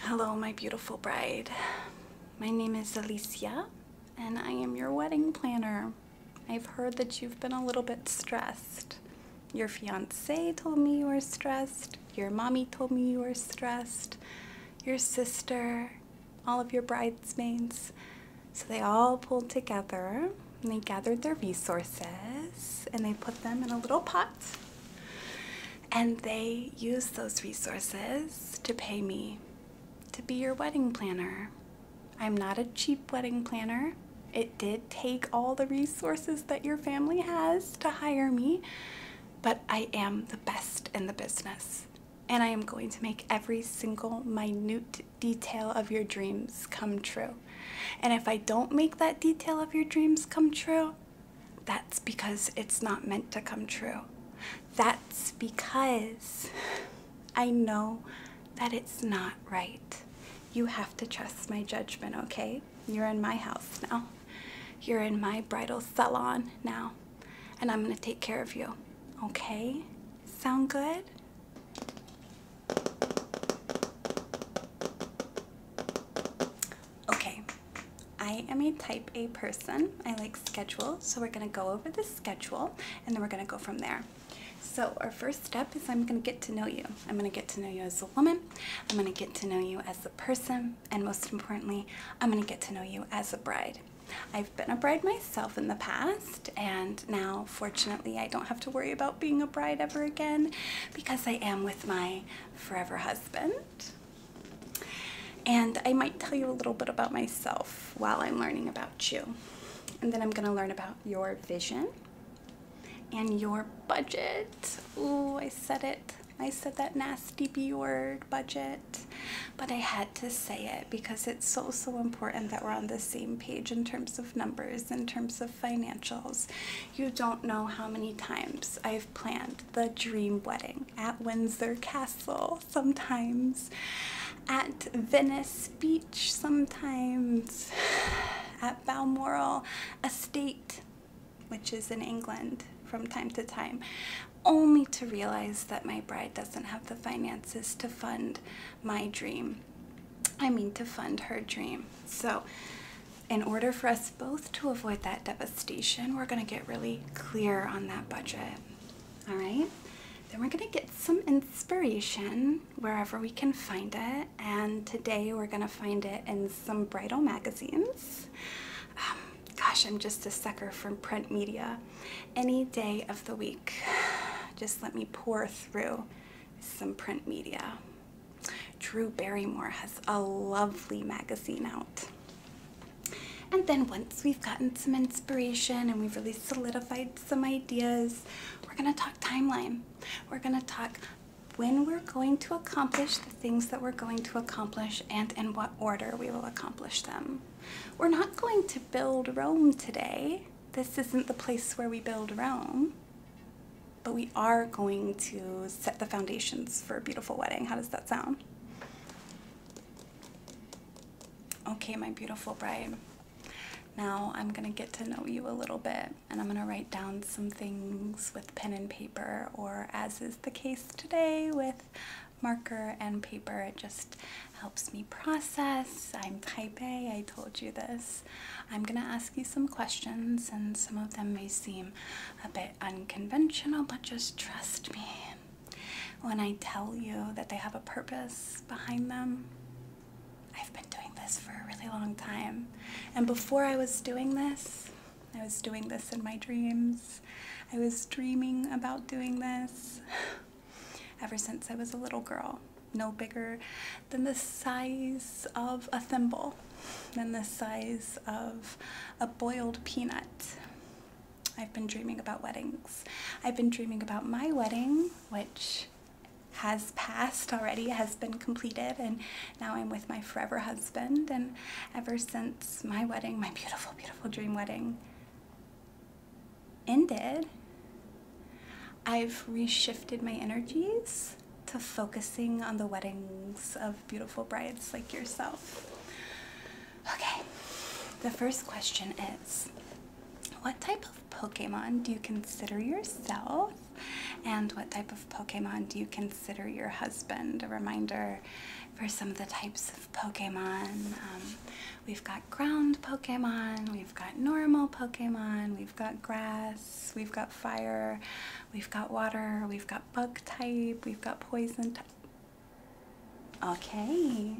Hello, my beautiful bride. My name is Alicia, and I am your wedding planner. I've heard that you've been a little bit stressed. Your fiance told me you were stressed. Your mommy told me you were stressed. Your sister, all of your bridesmaids. So they all pulled together and they gathered their resources and they put them in a little pot and they used those resources to pay me to be your wedding planner. I'm not a cheap wedding planner. It did take all the resources that your family has to hire me, but I am the best in the business. And I am going to make every single minute detail of your dreams come true. And if I don't make that detail of your dreams come true, that's because it's not meant to come true. That's because I know that it's not right. You have to trust my judgment, okay? You're in my house now. You're in my bridal salon now. And I'm gonna take care of you, okay? Sound good? Okay, I am a type A person. I like schedule, so we're gonna go over the schedule and then we're gonna go from there. So, our first step is I'm gonna get to know you. I'm gonna get to know you as a woman, I'm gonna get to know you as a person, and most importantly, I'm gonna get to know you as a bride. I've been a bride myself in the past, and now fortunately I don't have to worry about being a bride ever again because I am with my forever husband. And I might tell you a little bit about myself while I'm learning about you. And then I'm gonna learn about your vision and your budget. Ooh, I said it. I said that nasty B word, budget. But I had to say it because it's so, so important that we're on the same page in terms of numbers, in terms of financials, you don't know how many times I've planned the dream wedding at Windsor Castle sometimes, at Venice Beach sometimes, at Balmoral Estate, which is in England from time to time, only to realize that my bride doesn't have the finances to fund my dream. I mean, to fund her dream. So, in order for us both to avoid that devastation, we're going to get really clear on that budget. All right? Then we're going to get some inspiration wherever we can find it. And today we're going to find it in some bridal magazines. Um, gosh, I'm just a sucker for print media. Any day of the week, just let me pour through some print media. Drew Barrymore has a lovely magazine out. And then once we've gotten some inspiration and we've really solidified some ideas, we're gonna talk timeline. We're gonna talk when we're going to accomplish the things that we're going to accomplish and in what order we will accomplish them. We're not going to build Rome today. This isn't the place where we build Rome but we are going to set the foundations for a beautiful wedding. How does that sound? Okay, my beautiful bride. Now I'm gonna get to know you a little bit and I'm gonna write down some things with pen and paper or as is the case today with marker and paper. It just helps me process. I'm type A, I told you this. I'm gonna ask ask you some questions, and some of them may seem a bit unconventional, but just trust me when I tell you that they have a purpose behind them. I've been doing this for a really long time, and before I was doing this, I was doing this in my dreams. I was dreaming about doing this ever since I was a little girl, no bigger than the size of a thimble than the size of a boiled peanut. I've been dreaming about weddings. I've been dreaming about my wedding, which has passed already, has been completed, and now I'm with my forever husband. And ever since my wedding, my beautiful, beautiful dream wedding, ended, I've reshifted my energies to focusing on the weddings of beautiful brides like yourself. Okay, the first question is What type of Pokemon do you consider yourself? And what type of Pokemon do you consider your husband? A reminder for some of the types of Pokemon. Um, we've got ground Pokemon, we've got normal Pokemon, we've got grass, we've got fire. We've got water, we've got bug type, we've got poison type. Okay.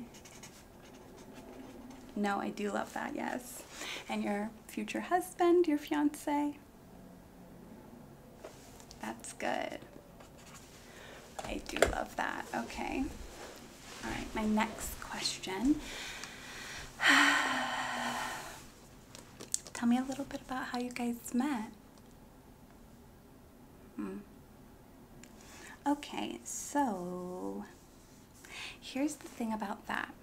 No, I do love that, yes. And your future husband, your fiance. That's good. I do love that. Okay. All right, my next question. Tell me a little bit about how you guys met. Hmm. Okay, so here's the thing about that.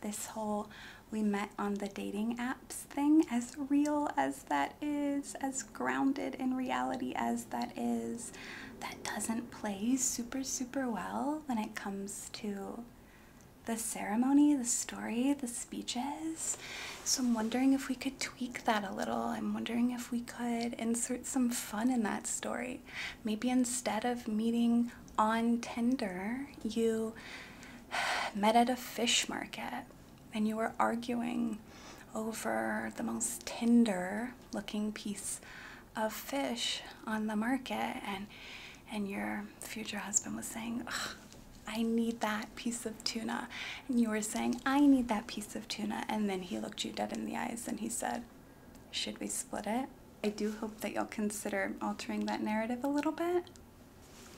This whole we met on the dating apps thing, as real as that is, as grounded in reality as that is, that doesn't play super, super well when it comes to the ceremony, the story, the speeches. So I'm wondering if we could tweak that a little. I'm wondering if we could insert some fun in that story. Maybe instead of meeting on Tinder, you met at a fish market and you were arguing over the most tender looking piece of fish on the market and and your future husband was saying I need that piece of tuna. And you were saying, I need that piece of tuna. And then he looked you dead in the eyes and he said, Should we split it? I do hope that you'll consider altering that narrative a little bit.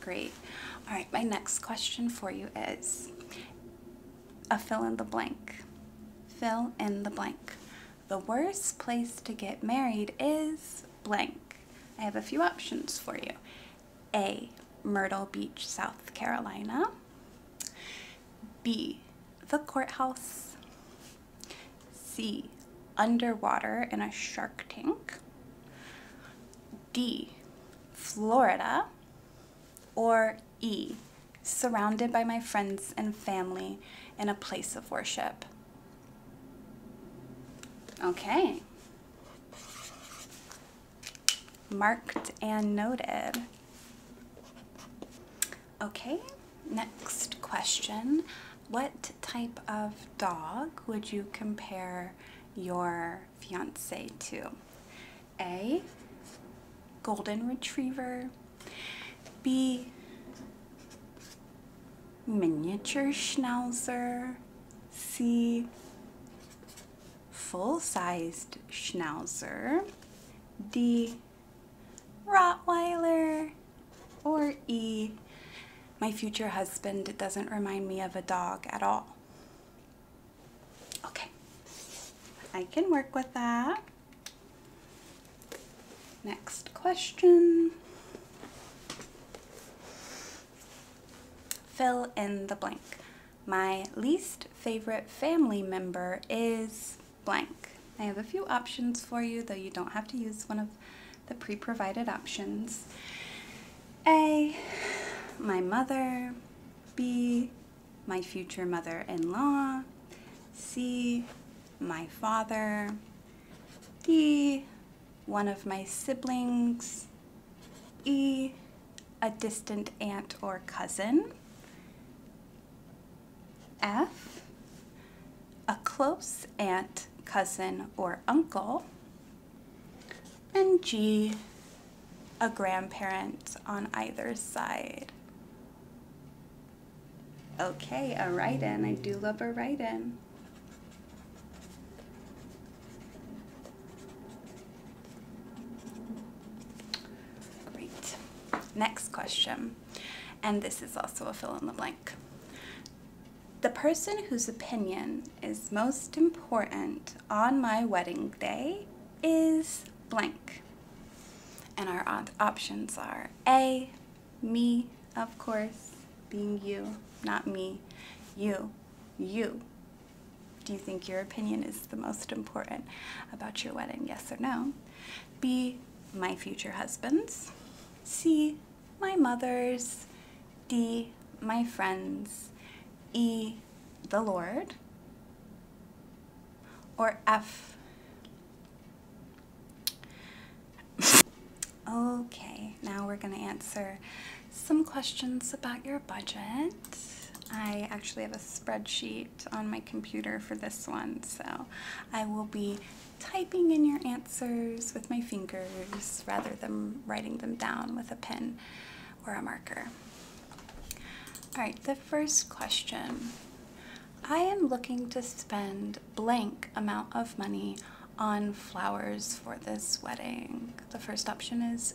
Great. All right, my next question for you is a fill in the blank. Fill in the blank. The worst place to get married is blank. I have a few options for you. A. Myrtle Beach, South Carolina. B. The courthouse. C. Underwater in a shark tank. D. Florida. Or E. Surrounded by my friends and family in a place of worship. Okay. Marked and noted. Okay, next question. What type of dog would you compare your fiance to? A, golden retriever. B, miniature schnauzer see full-sized schnauzer, D Rottweiler, or E my future husband doesn't remind me of a dog at all. Okay, I can work with that. Next question. Fill in the blank. My least favorite family member is blank. I have a few options for you, though you don't have to use one of the pre-provided options. A, my mother. B, my future mother-in-law. C, my father. D, one of my siblings, E, a distant aunt or cousin, F, a close aunt, cousin, or uncle, and G, a grandparent on either side. Okay, a write-in. I do love a write-in. Great. Next question, and this is also a fill in the blank. The person whose opinion is most important on my wedding day is blank. And our options are A, me, of course, being you, not me, you, you, do you think your opinion is the most important about your wedding? Yes or no? B, my future husband's. C, my mother's. D, my friends. E, the Lord. Or F. Okay, now we're going to answer some questions about your budget. I actually have a spreadsheet on my computer for this one, so I will be typing in your answers with my fingers rather than writing them down with a pen or a marker. All right, the first question. I am looking to spend blank amount of money on flowers for this wedding. The first option is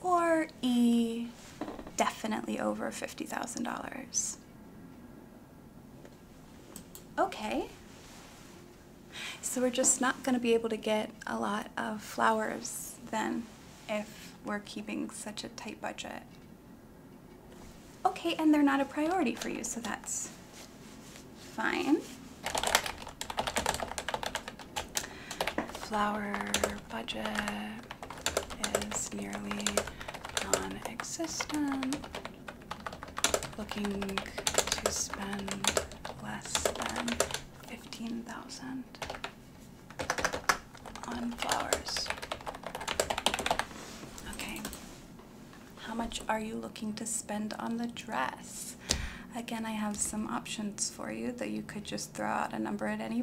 or E, definitely over $50,000. Okay. So we're just not going to be able to get a lot of flowers then if we're keeping such a tight budget. Okay, and they're not a priority for you, so that's fine. Flower budget is nearly non-existent. Looking to spend less than fifteen thousand on flowers. Okay. How much are you looking to spend on the dress? Again, I have some options for you that you could just throw out a number at any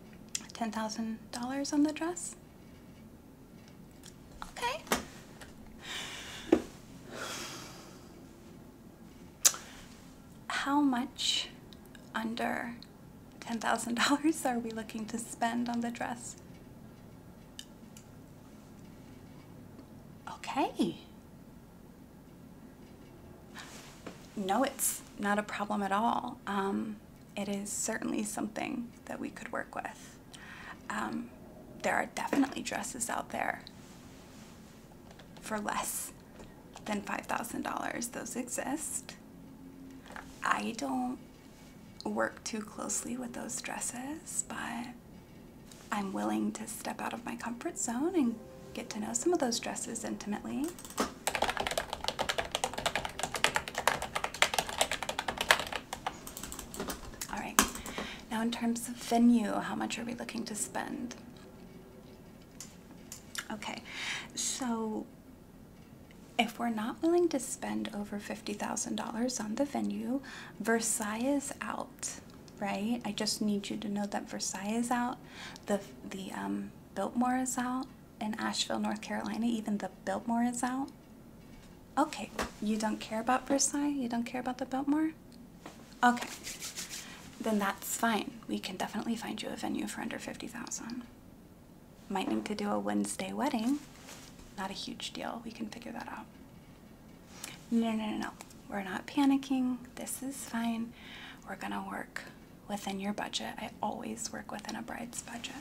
$10,000 on the dress? Okay. How much under $10,000 are we looking to spend on the dress? Okay. No, it's not a problem at all. Um, it is certainly something that we could work with. Um, there are definitely dresses out there for less than $5,000. Those exist. I don't work too closely with those dresses, but I'm willing to step out of my comfort zone and get to know some of those dresses intimately. All right. Now, in terms of venue, how much are we looking to spend? Okay. So, if we're not willing to spend over $50,000 on the venue, Versailles is out, right? I just need you to know that Versailles is out, the, the um, Biltmore is out, in Asheville, North Carolina, even the Biltmore is out. Okay, you don't care about Versailles? You don't care about the Biltmore? Okay, then that's fine. We can definitely find you a venue for under 50000 Might need to do a Wednesday wedding. Not a huge deal. We can figure that out. No, no, no, no. We're not panicking. This is fine. We're going to work within your budget. I always work within a bride's budget.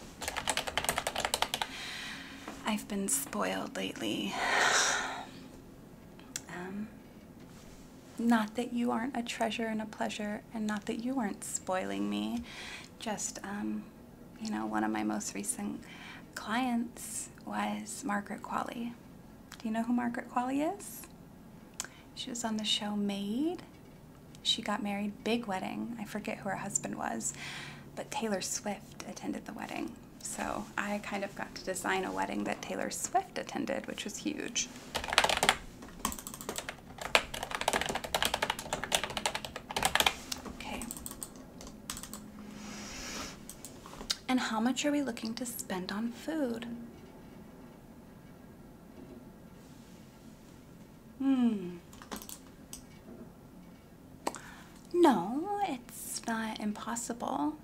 I've been spoiled lately. Um, not that you aren't a treasure and a pleasure, and not that you aren't spoiling me. Just, um, you know, one of my most recent clients was Margaret Qualley. Do you know who Margaret Qualley is? She was on the show Made. She got married, big wedding. I forget who her husband was, but Taylor Swift attended the wedding. So I kind of got to design a wedding that Taylor Swift attended, which was huge. Okay. And how much are we looking to spend on food? Hmm. No, it's not impossible.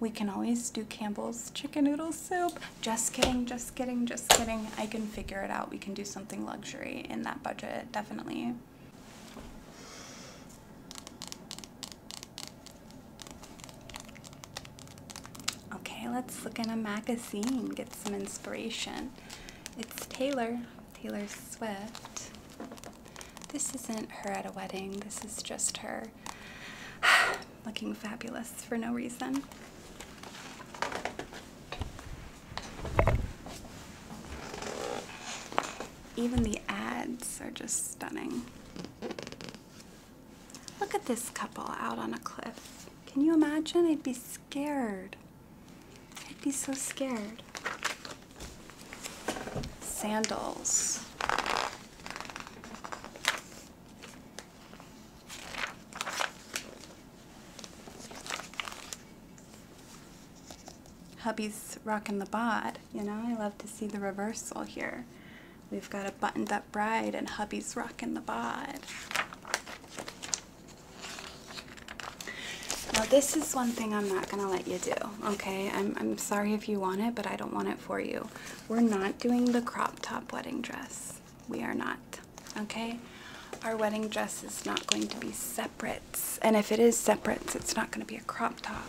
We can always do Campbell's chicken noodle soup. Just kidding, just kidding, just kidding. I can figure it out. We can do something luxury in that budget, definitely. Okay, let's look in a magazine, get some inspiration. It's Taylor, Taylor Swift. This isn't her at a wedding, this is just her looking fabulous for no reason. Even the ads are just stunning. Look at this couple out on a cliff. Can you imagine? I'd be scared. I'd be so scared. Sandals. Hubby's rocking the bod, you know? I love to see the reversal here. We've got a buttoned up bride and hubby's rocking the bod. Now this is one thing I'm not gonna let you do, okay? I'm, I'm sorry if you want it, but I don't want it for you. We're not doing the crop top wedding dress. We are not, okay? Our wedding dress is not going to be separates, and if it is separates, it's not gonna be a crop top.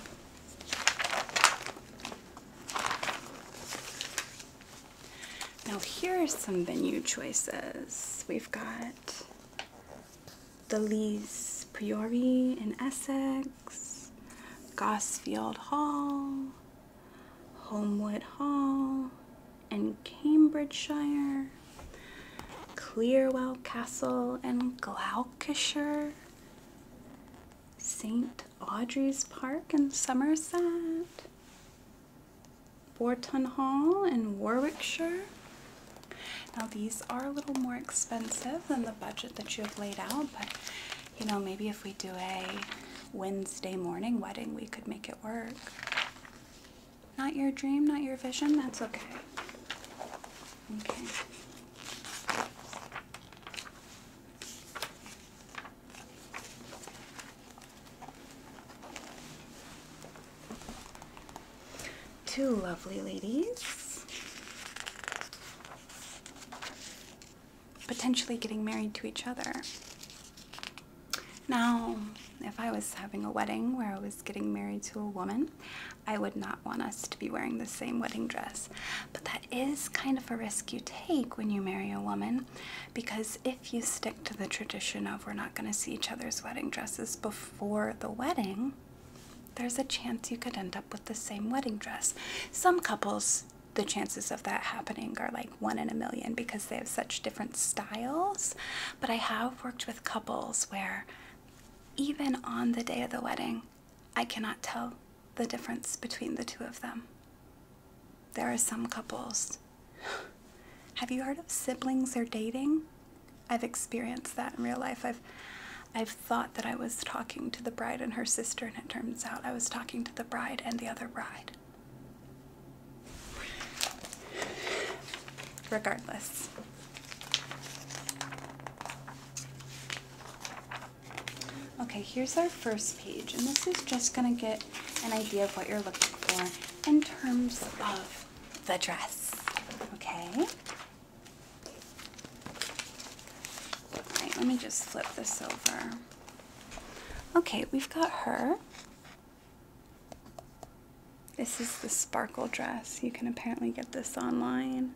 Now here are some venue choices. We've got the Lees Priory in Essex, Gosfield Hall, Homewood Hall, and Cambridgeshire, Clearwell Castle and Gloucestershire, St. Audrey's Park in Somerset, Borton Hall in Warwickshire. Now these are a little more expensive than the budget that you have laid out, but you know, maybe if we do a Wednesday morning wedding, we could make it work. Not your dream, not your vision, that's okay. Okay. Two lovely ladies. Potentially getting married to each other. Now, if I was having a wedding where I was getting married to a woman, I would not want us to be wearing the same wedding dress. But that is kind of a risk you take when you marry a woman because if if you stick to the tradition of we're not going to see each other's wedding dresses before the wedding, there's a chance you could end up with the same wedding dress. Some couples, the chances of that happening are like one in a million because they have such different styles. But I have worked with couples where even on the day of the wedding, I cannot tell the difference between the two of them. There are some couples have you heard of siblings or dating? I've experienced that in real life. I've I've thought that I was talking to the bride and her sister, and it turns out I was talking to the bride and the other bride. Regardless. Okay, here's our first page, and this is just gonna get an idea of what you're looking for in terms of the dress. Okay. All right, let me just flip this over. Okay, we've got her. This is the sparkle dress. You can apparently get this online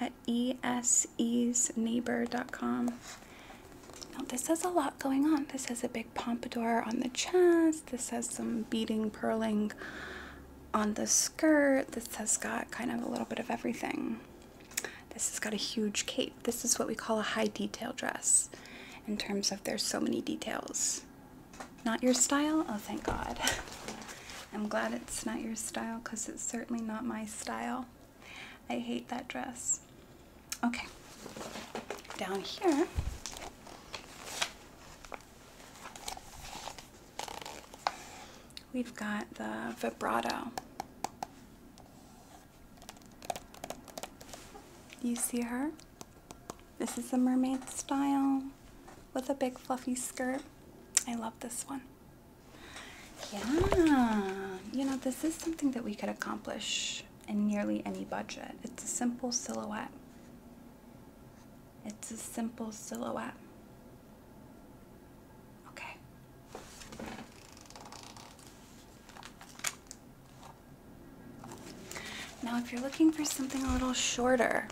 at esesneighbor.com. Now, this has a lot going on. This has a big pompadour on the chest. This has some beading purling on the skirt. This has got kind of a little bit of everything. This has got a huge cape. This is what we call a high detail dress in terms of there's so many details. Not your style? Oh, thank God. I'm glad it's not your style because it's certainly not my style. I hate that dress. Okay, down here. We've got the vibrato. You see her? This is the mermaid style with a big fluffy skirt. I love this one. Yeah, you know, this is something that we could accomplish in nearly any budget. It's a simple silhouette. It's a simple silhouette. Okay. Now, if you're looking for something a little shorter,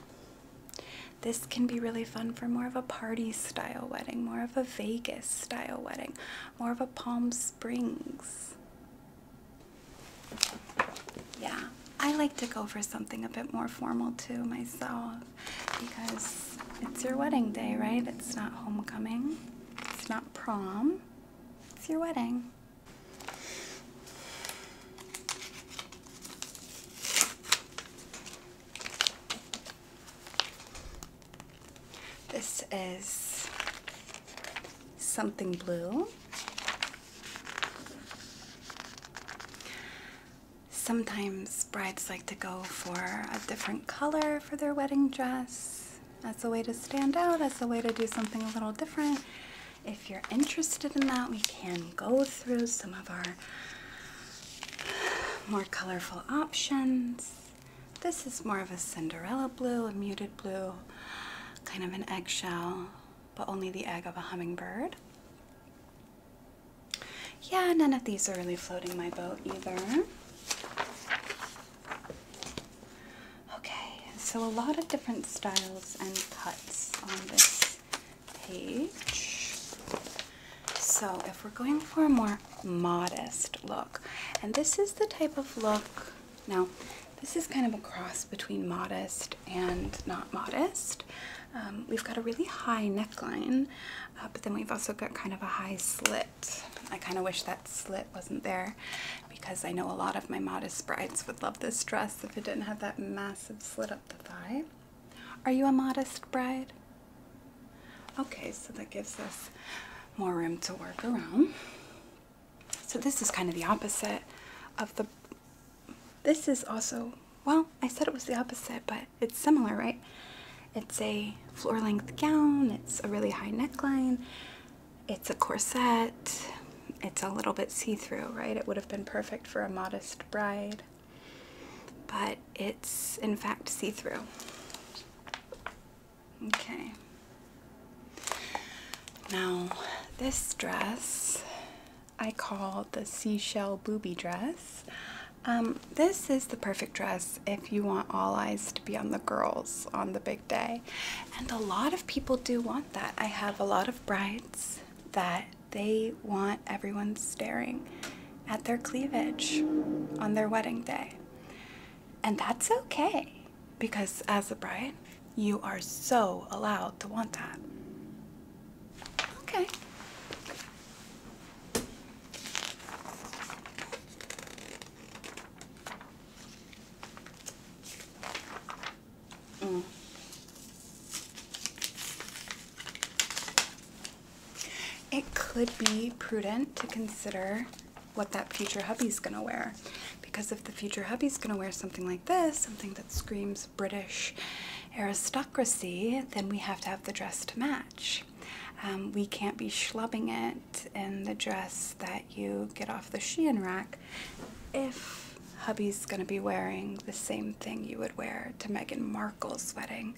this can be really fun for more of a party style wedding, more of a Vegas style wedding, more of a Palm Springs yeah, I like to go for something a bit more formal too myself because it's your wedding day, right? It's not homecoming, it's not prom, it's your wedding. This is something blue. Sometimes brides like to go for a different color for their wedding dress as a way to stand out, as a way to do something a little different. If you're interested in that, we can go through some of our more colorful options. This is more of a Cinderella blue, a muted blue, kind of an eggshell but only the egg of a hummingbird. Yeah, none of these are really floating my boat either. Okay, so a lot of different styles and cuts on this page. So if we're going for a more modest look, and this is the type of look now, this is kind of a cross between modest and not modest. Um, we've got a really high neckline, uh, but then we've also got kind of a high slit. I kind of wish that slit wasn't there because I know a lot of my modest brides would love this dress if it didn't have that massive slit up the thigh. Are you a modest bride? Okay, so that gives us more room to work around. So this is kind of the opposite of the. This is also, well, I said it was the opposite, but it's similar, right? It's a floor length gown, it's a really high neckline, it's a corset, it's a little bit see through, right? It would have been perfect for a modest bride, but it's in fact see through. Okay, now, this dress I call the seashell booby dress. Um, this is the perfect dress if you want all eyes to be on the girls on the big day. And a lot of people do want that. I have a lot of brides that they want everyone staring at their cleavage on their wedding day. And that's okay because as a bride, you are so allowed to want that. Okay. Mm. It could be prudent to consider what that future hubby's gonna wear because if the future hubby's going to wear something like this, something that screams British aristocracy, then we have to have the dress to match. Um, we can't be schlubbing it in the dress that you get off the Shein rack if hubby's going to be wearing the same thing you would wear to Meghan Markle's wedding.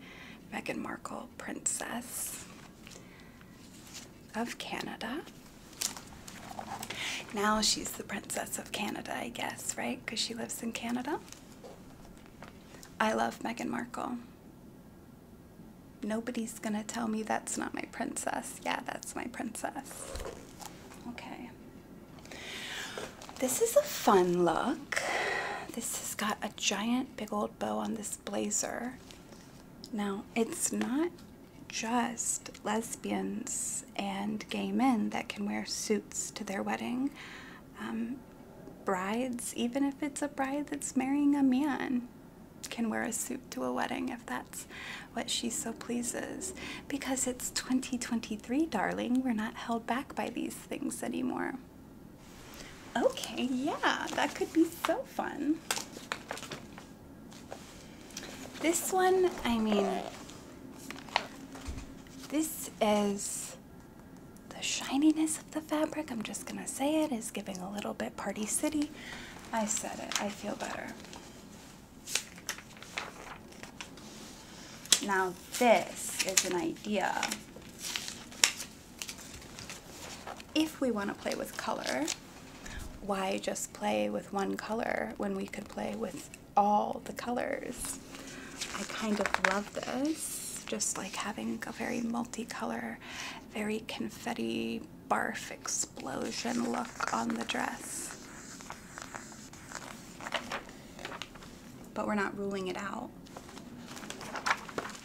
Meghan Markle, Princess of Canada. Now she's the princess of Canada, I guess, right? Because she lives in Canada. I love Meghan Markle. Nobody's gonna tell me that's not my princess. Yeah, that's my princess. Okay. This is a fun look. This has got a giant big old bow on this blazer. Now, it's not just lesbians and gay men that can wear suits to their wedding. Um, brides, even if it's a bride that's marrying a man, can wear a suit to a wedding if that's what she so pleases. Because it's 2023, darling. We're not held back by these things anymore. Okay, yeah, that could be so fun. This one, I mean, this is the shininess of the fabric, I'm just gonna say it, is giving a little bit Party City. I said it, I feel better. Now this is an idea. If we wanna play with color, why just play with one color when we could play with all the colors. I kind of love this, just like having a very multicolor, very confetti barf explosion look on the dress. But we're not ruling it out.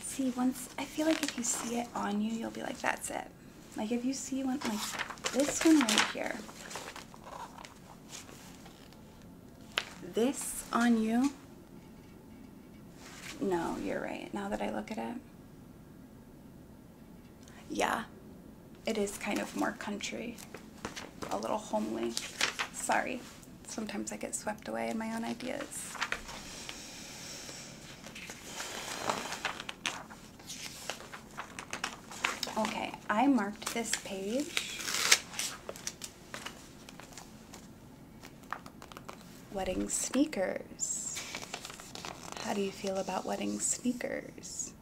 See, once I feel like if you see it on you, you'll be like, that's it. Like if you see one like this one right here, this on you, no, you're right. Now that I look at it, yeah, it is kind of more country, a little homely. Sorry, sometimes I get swept away in my own ideas. Okay, I marked this page wedding sneakers. How do you feel about wedding sneakers?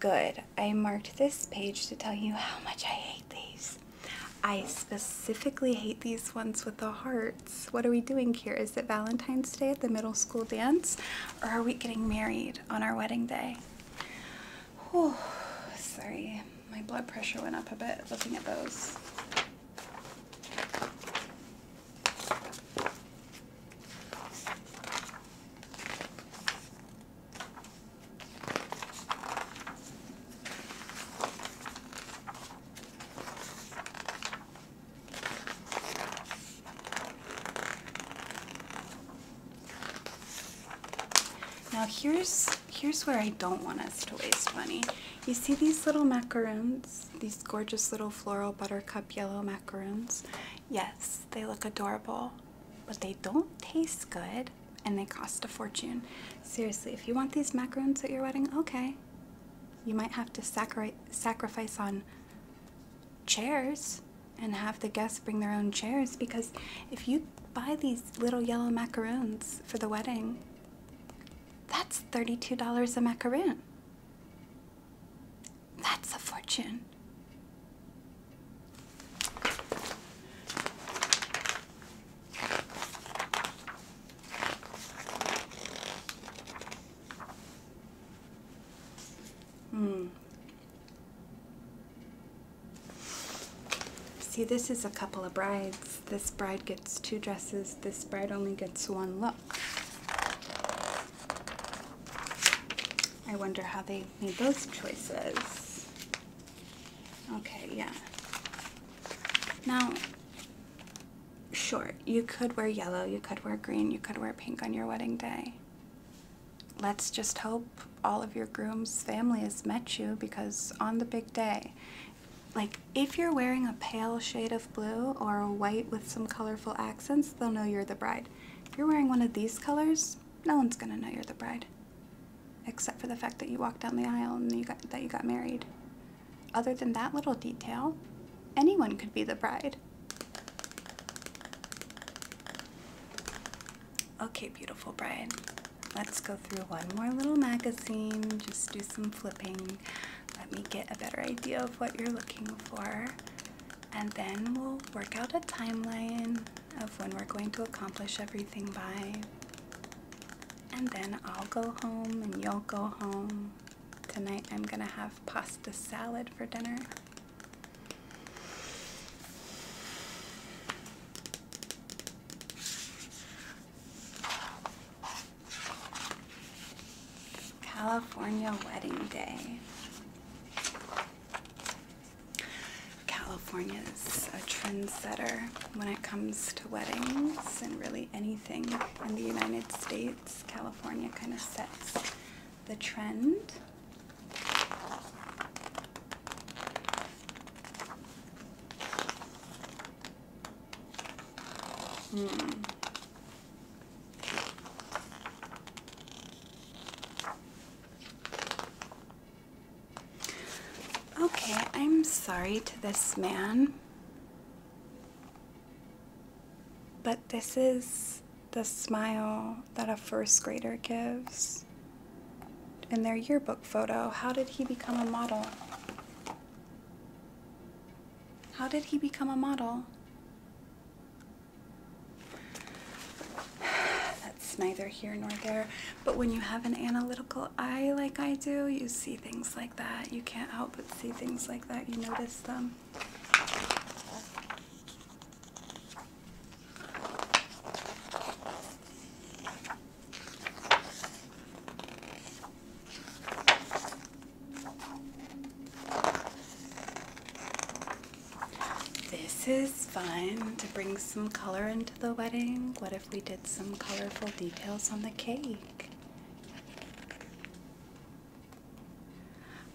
Good. I marked this page to tell you how much I hate these. I specifically hate these ones with the hearts. What are we doing here? Is it Valentine's Day at the middle school dance? or are we getting married on our wedding day? Oh, sorry, my blood pressure went up a bit looking at those. Now here's here's where I don't want us to waste money. You see these little macaroons, these gorgeous little floral buttercup yellow macaroons? Yes, they look adorable, but they don't taste good and they cost a fortune. Seriously, if you want these macaroons at your wedding, okay. You might have to sacri sacrifice on chairs and have the guests bring their own chairs because if you buy these little yellow macaroons for the wedding, that's $32 a macaron. That's a fortune. Mm. See, this is a couple of brides. This bride gets two dresses, this bride only gets one look. I wonder how they made those choices. Okay, yeah. Now, sure, you could wear yellow, you could wear green, you could wear pink on your wedding day let's just hope all of your groom's family has met you because on the big day, like if you're wearing a pale shade of blue or white with some colorful accents, they'll know you're the bride. If you're wearing one of these colors, no one's gonna know you're the bride, except for the fact that you walked down the aisle and you got, that you got married. Other than that little detail, anyone could be the bride. Okay, beautiful bride. Let's go through one more little magazine. Just do some flipping. Let me get a better idea of what you're looking for. And then we'll work out a timeline of when we're going to accomplish everything by. And then I'll go home and you'll go home. Tonight I'm gonna have pasta salad for dinner. California Wedding Day. California is a trendsetter when it comes to weddings and really anything in the United States. California kind of sets the trend. Mm. Okay, I'm sorry to this man, but this is the smile that a first grader gives in their yearbook photo. How did he become a model? How did he become a model? That's neither here nor there. But when you have an analytical eye like I do, you see things like that. You can't help but see things like that. You notice them. This is fun to bring some color into the wedding. What if we did some colorful details on the cake?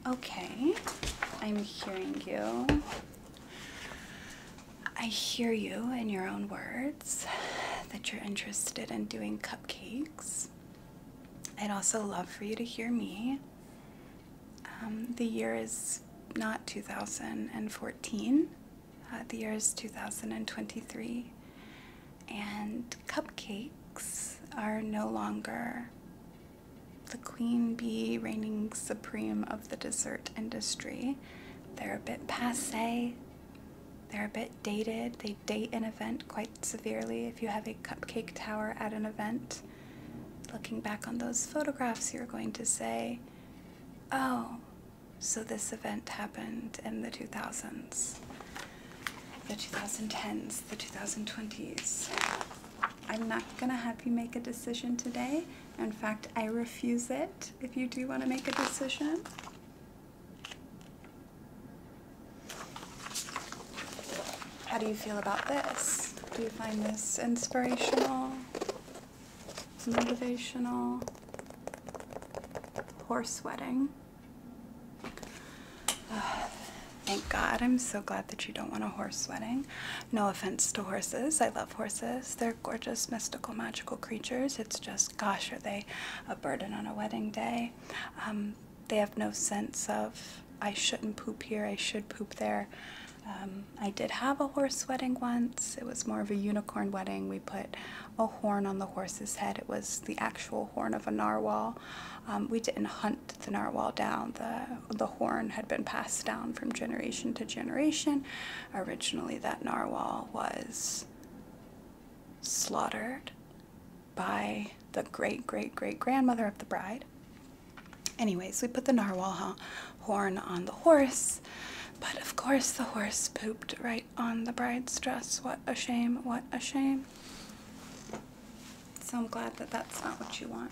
Okay, I'm hearing you. I hear you in your own words that you're interested in doing cupcakes. I'd also love for you to hear me. Um, the year is not 2014, uh, the year is 2023, and cupcakes are no longer the queen bee reigning supreme of the dessert industry. They're a bit passe, they're a bit dated. They date an event quite severely. If you have a cupcake tower at an event, looking back on those photographs, you're going to say, oh, so this event happened in the 2000s, the 2010s, the 2020s. I'm not gonna have you make a decision today. In fact, I refuse it if you do want to make a decision. How do you feel about this? Do you find this inspirational, motivational? Horse wedding. thank God. I'm so glad that you don't want a horse wedding. No offense to horses. I love horses. They're gorgeous, mystical, magical creatures. It's just, gosh, are they a burden on a wedding day? Um, they have no sense of, I shouldn't poop here, I should poop there. Um, I did have a horse wedding once. It was more of a unicorn wedding. We put a horn on the horse's head. It was the actual horn of a narwhal. Um, we didn't hunt the narwhal down. The, the horn had been passed down from generation to generation. Originally, that narwhal was slaughtered by the great great great grandmother of the bride. Anyways, we put the narwhal horn on the horse, but of course the horse pooped right on the bride's dress. What a shame, what a shame. So I'm glad that that's not what you want.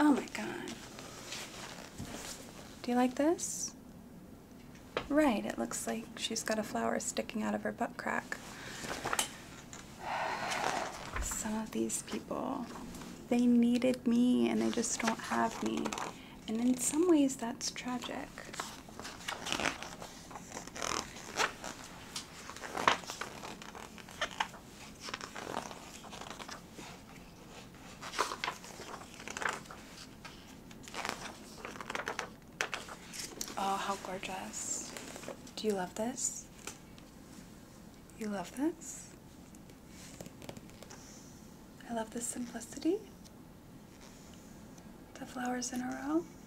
Oh my god. Do you like this? Right, it looks like she's got a flower sticking out of her butt crack. Some of these people, they needed me and they just don't have me. And in some ways, that's tragic. Oh, how gorgeous. Do you love this? You love this? I love the simplicity. The flowers in a row.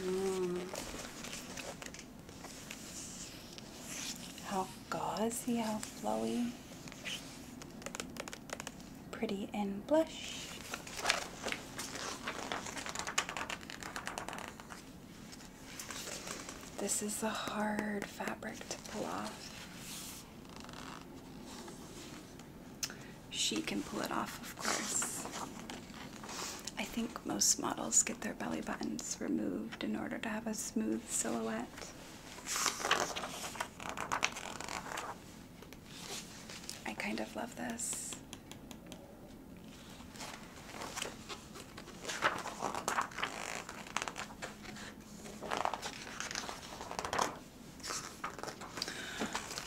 Mm. How gauzy, how flowy. Pretty and blush. This is a hard fabric to pull off she can pull it off, of course. I think most models get their belly buttons removed in order to have a smooth silhouette. I kind of love this.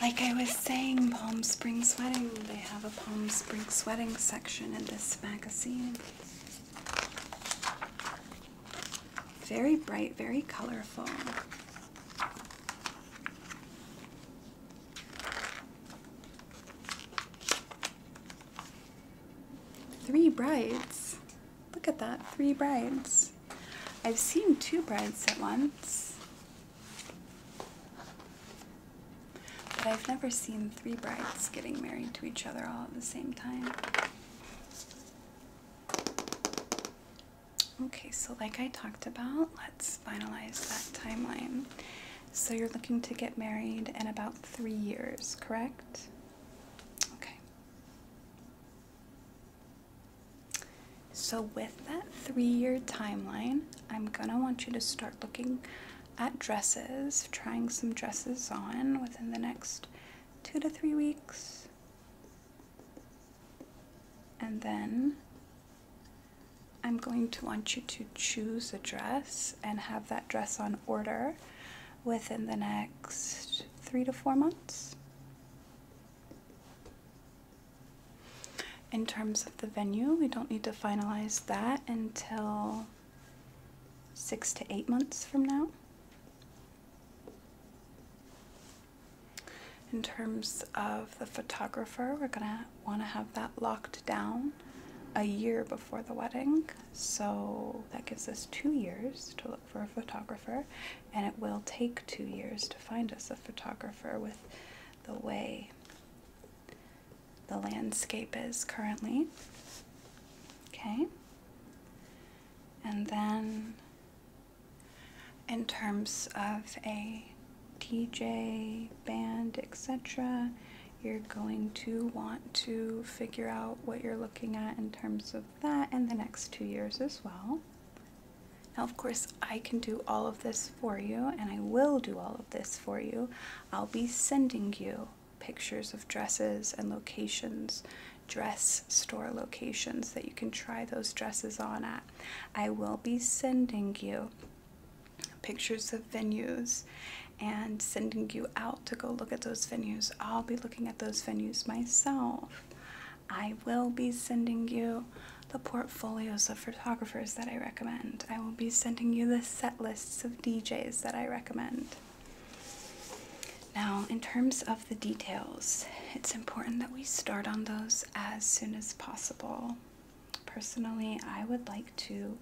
Like I was saying, Palm Spring Sweating, they have a Palm Spring Sweating section in this magazine. Very bright, very colorful. Three brides. Look at that, three brides. I've seen two brides at once. But I've never seen three brides getting married to each other all at the same time. Okay, so like I talked about, let's finalize that timeline. So you're looking to get married in about three years, correct? Okay. So, with that three year timeline, I'm gonna want you to start looking at dresses, trying some dresses on within the next two to three weeks. And then I'm going to want you to choose a dress and have that dress on order within the next three to four months. In terms of the venue, we don't need to finalize that until six to eight months from now. In terms of the photographer, we're gonna wanna have that locked down a year before the wedding, so that gives us two years to look for a photographer and it will take two years to find us a photographer with the way the landscape is currently. Okay. And then, in terms of a DJ, band, etc., you're going to want to figure out what you're looking at in terms of that in the next two years as well. Now, of course, I can do all of this for you, and I will do all of this for you. I'll be sending you pictures of dresses and locations, dress store locations that you can try those dresses on at. I will be sending you pictures of venues and sending you out to go look at those venues. I'll be looking at those venues myself. I will be sending you the portfolios of photographers that I recommend. I will be sending you the set lists of DJs that I recommend. Now, in terms of the details, it's important that we start on those as soon as possible. Personally, I would like to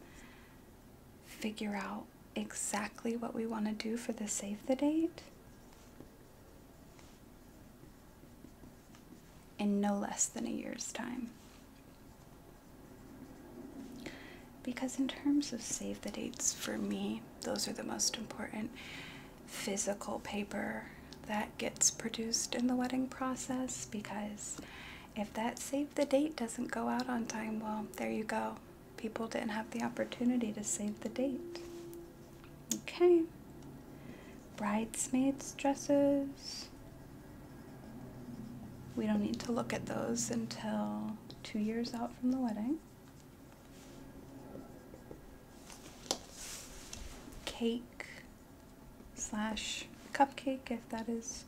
figure out exactly what we want to do for the save the date in no less than a year's time. Because, in terms of save the dates, for me, those are the most important physical paper that gets produced in the wedding process. Because if that save the date doesn't go out on time, well, there you go. People didn't have the opportunity to save the date. Okay. Bridesmaids' dresses. We don't need to look at those until two years out from the wedding. Cake slash cupcake, if that is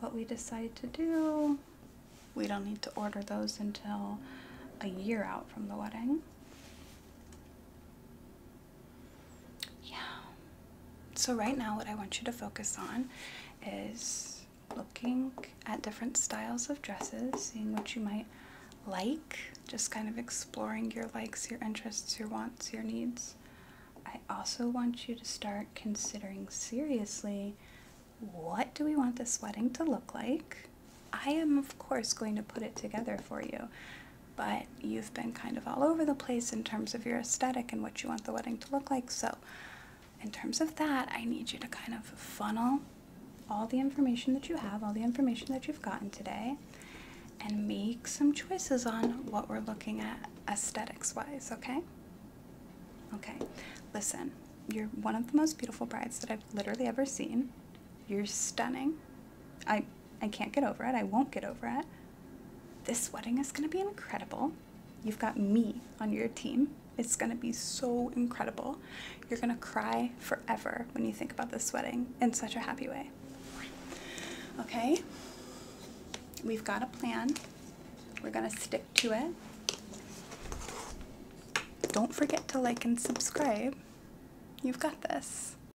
what we decide to do. We don't need to order those until a year out from the wedding. Yeah. So, right now, what I want you to focus on is looking at different styles of dresses, seeing what you might like, just kind of exploring your likes, your interests, your wants, your needs. I also want you to start considering seriously what do we want this wedding to look like? I am, of course, going to put it together for you but you've been kind of all over the place in terms of your aesthetic and what you want the wedding to look like. So, in terms of that, I need you to kind of funnel all the information that you have, all the information that you've gotten today, and make some choices on what we're looking at aesthetics wise, okay? Okay, listen, you're one of the most beautiful brides that I've literally ever seen. You're stunning. I I can't get over it. I won't get over it. This wedding is going to be incredible. You've got me on your team. It's going to be so incredible. You're going to cry forever when you think about this wedding in such a happy way. Okay? We've got a plan. We're going to stick to it. Don't forget to like and subscribe. You've got this.